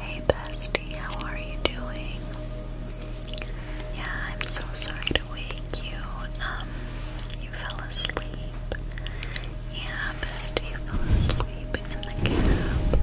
Hey bestie, how are you doing? Yeah, I'm so sorry to wake you. Um, you fell asleep. Yeah, bestie, you fell asleep in the cab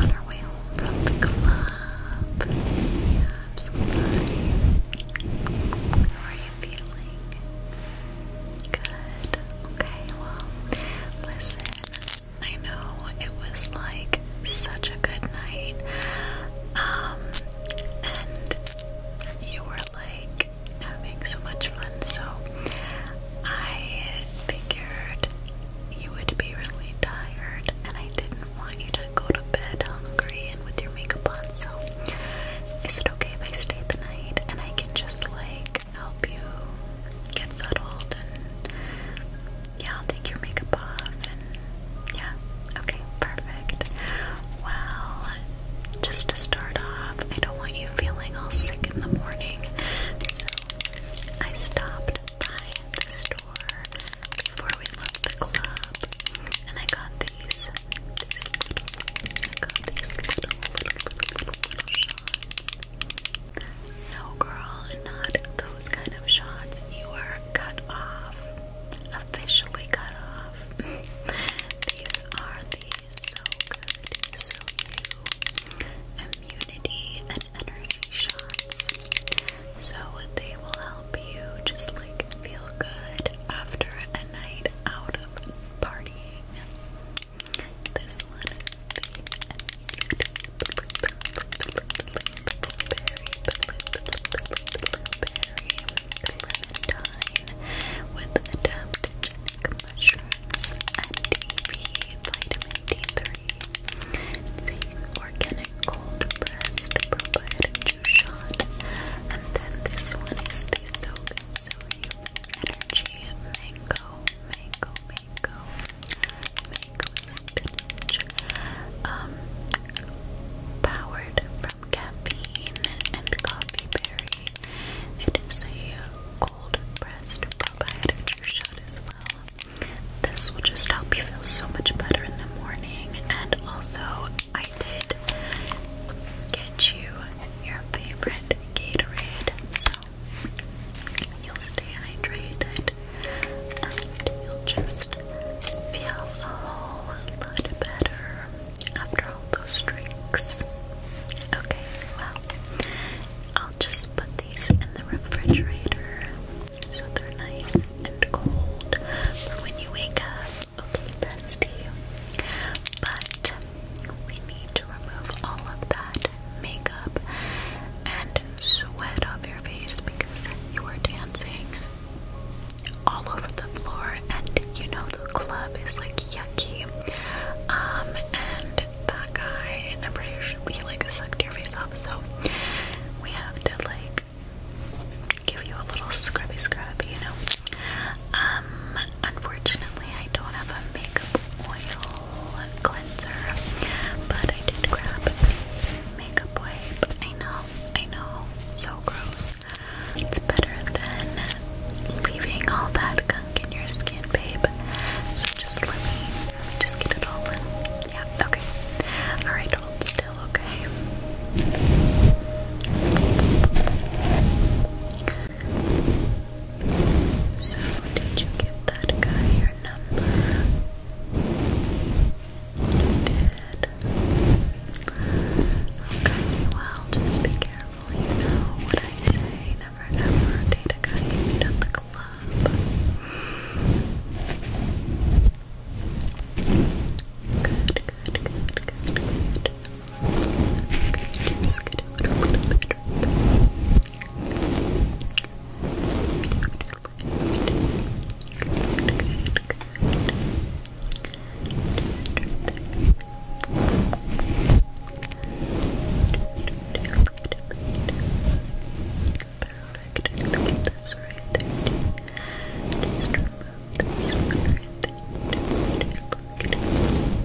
on our way home from the club. Yeah, I'm so sorry. How are you feeling? Good. Okay, well, listen, I know it was like such a good night. Um, and you were like having so much fun, so I figured you would be really tired, and I didn't want you to go to bed hungry and with your makeup on. So, is it okay if I stay the night and I can just like help you get settled and yeah, I'll take your makeup off and yeah, okay, perfect. Well, just to start off, I don't want you feeling all sick in the morning, so I stopped by the store before we left the club and I got these. No, girl, not those kind of shots. You are cut off. Officially cut off. These are the So Good, So You immunity and energy shots. So they will help you just like feel good after a night out of partying. This one is the Clementine with adaptogenic mushrooms and DP vitamin D3. It's a organic cold pressed probiotic juice shot. And then this one is the Soak Suri Energy Mango mango, mango, mango spinach. Um, powered from caffeine and coffee berry. It is a cold pressed probiotic shot as well. This will just help you feel so much better in the morning. And also, I did get you your favorite Gatorade you'll stay hydrated and you'll just feel a whole lot better after all those drinks. Okay, well, I'll just put these in the refrigerator so they're nice and cold when you wake up. Okay, bestie. But we need to remove all of that makeup and sweat off your face because you were dancing all over the floor and you know the club is like yucky. Um and that guy I'm pretty sure he like sucked your face off so we have to like give you a little scrubby scrub, you know. Um Unfortunately, I don't have a makeup oil cleanser, but I did grab makeup wipe. I know, I know, so gross. It's better than leaving all that gunk in your skin, babe. So just let me, just get it all in. Yeah, okay. Alright, still, okay? So, did you give that guy your number? You did. Okay, well, just be careful. You know what I say. Never, never date a guy you the club. Good, good, good, good, good. Good. Just get it a little bit. Good, good, good. Perfect. Look at this right there. Just remove this one right there. Just look at it.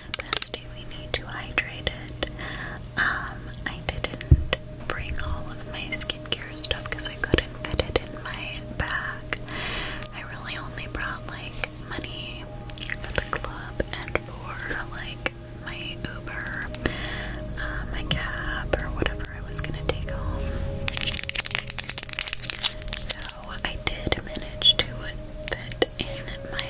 bestie, we need to hydrate it. Um, I didn't bring all of my skincare stuff because I couldn't fit it in my bag. I really only brought like money for the club and for like my Uber, uh, my cab, or whatever I was gonna take home. So I did manage to fit in my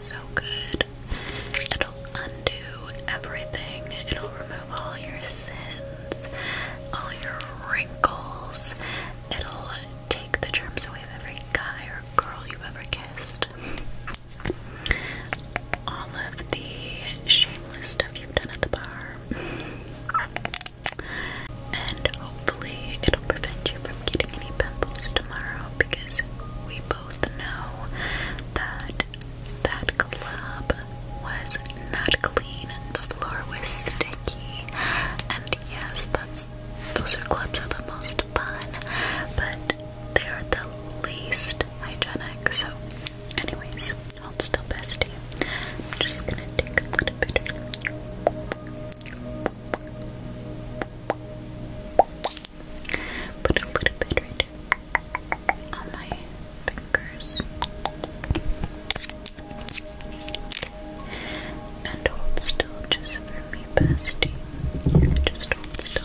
so good. It'll undo everything, it'll remove all your sins, all your wrinkles, it'll take the germs away of every guy or girl you've ever kissed. All of the shameless stuff you've done at the bar. And hopefully, it'll prevent you from getting any pimples tomorrow because we both know that that club was not clean, the floor was sticky, and yes, that's those are clubs are the most fun, but they are the least hygienic. So, anyways, I'll still bestie. I'm just gonna take a bit. Put a little bit right on my fingers. And hold still just for me, bestie. Just hold still.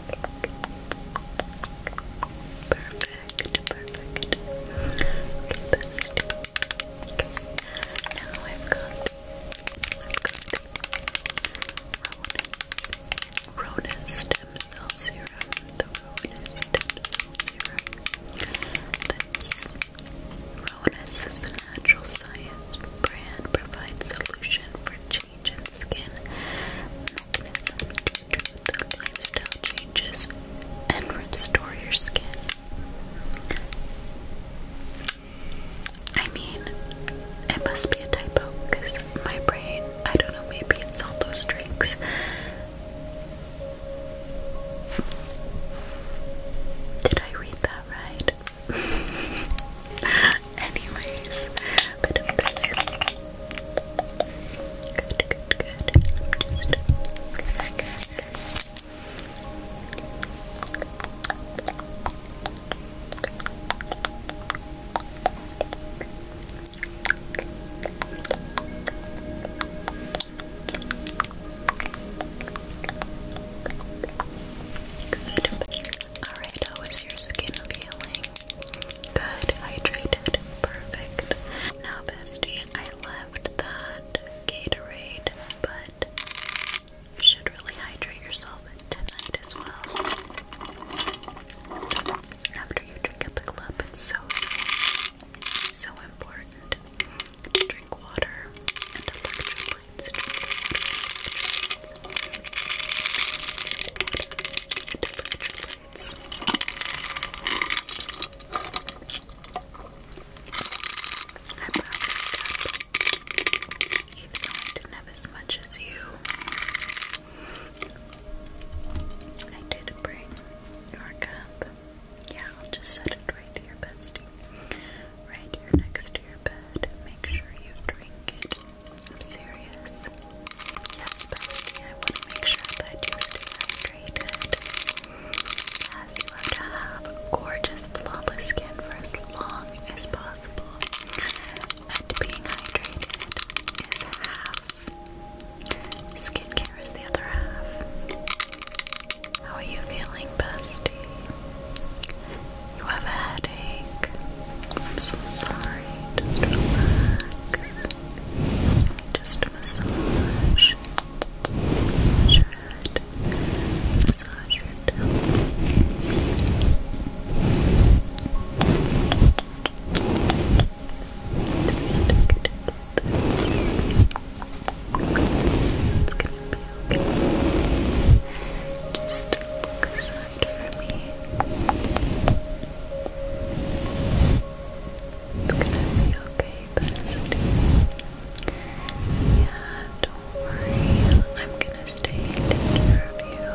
Perfect, perfect. Now I've got I've Rona, stem cell serum. The Rona stem cell serum. That's Ronas is a natural science brand provides solution for change in skin, lifestyle changes, and restore your skin. I mean, it must be a typo my brain, I don't know, maybe it's all those drinks. Did I read that right? Anyways, Good, good, good. Alright, I was your skin feeling? Good, hydrated, perfect. Now, bestie, I left that Gatorade, but you should really hydrate yourself tonight as well. After you drink at the club, it's so, so, important to drink water and electrolytes lines. I'm proud of Even have as much as you, I did bring your cup. Yeah, I'll just set it right here, bestie. Right here next to your bed. Make sure you drink it I'm serious. Yes, Bethany, I want to make sure that you stay hydrated. As you are to have gorgeous, flawless skin for as long as possible. And being hydrated is half. Skincare is the other half. How are you feeling, bestie? You have a headache. I'm so sorry. Just massage. Massage your head. Massage your temples. Just look aside for me. It's gonna be okay, bestie. Yeah, don't worry. I'm gonna stay and take care you.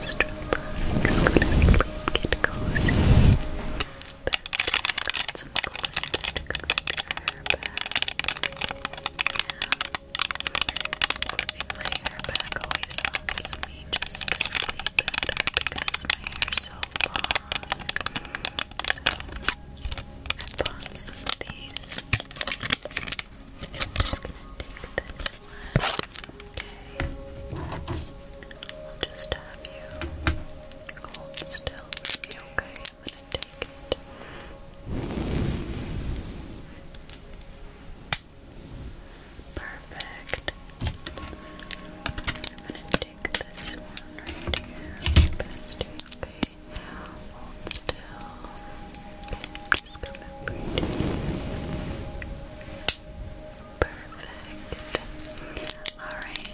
Just relax, go to sleep, get cozy. Bestie, I got some clothes to back. Flipping my hair back always helps me just sleep better because my hair's so long. I bought some of these. I'm just gonna take this one. Okay. I'll just have you hold still with okay? I'm gonna take Perfect. I'm gonna take this one right here. Bestie, okay. still. just come up right Perfect. Alright,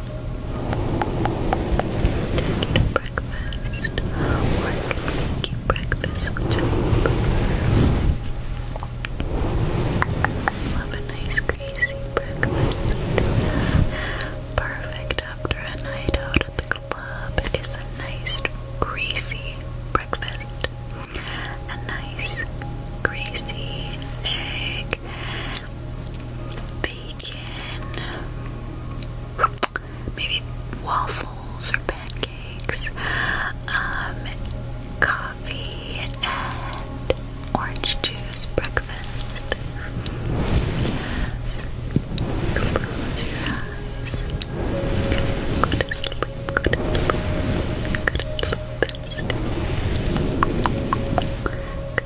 Take you to breakfast, or I breakfast, which I prefer. Love a nice greasy breakfast. Perfect after a night out at the club is a nice greasy breakfast. A nice greasy egg bacon, maybe waffles or pancakes, um, coffee, and orange juice breakfast. Close your eyes. Go to sleep. Go to sleep. Go to sleep. Go to sleep.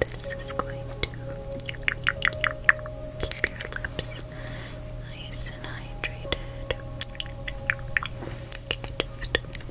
This is going to keep your lips nice and hydrated. just like that.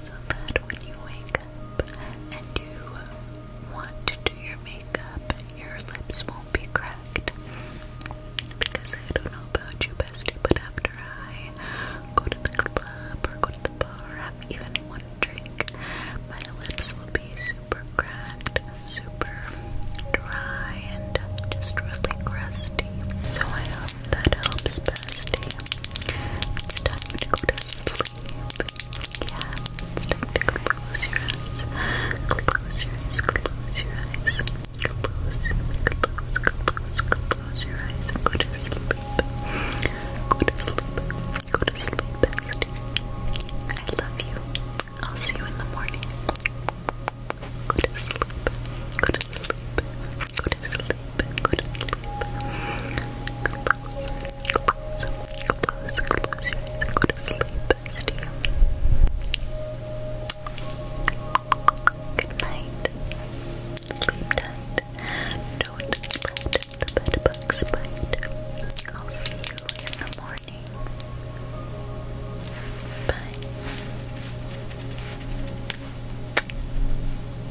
so that when you wake up and you want to do your makeup, your lips won't be cracked. Because I don't know about you, bestie, but after I go to the club or go to the bar, have even one drink, my lips will be super cracked, super dry, and just really crusty. So I hope that helps, bestie. It's time to go to sleep sleep. Yeah, it's time close your eyes. Close your eyes, close your eyes. Close, close, close, close your eyes and go to sleep. Go to sleep. Go to sleep, I love you. I'll see you in the morning. Go to sleep. Go to sleep. Go to sleep. Go to sleep. Close, close, close your eyes and go to sleep, bestie. Good night. Sleep tight. Don't let the bed bugs bite. I'll see you in the morning. Bye.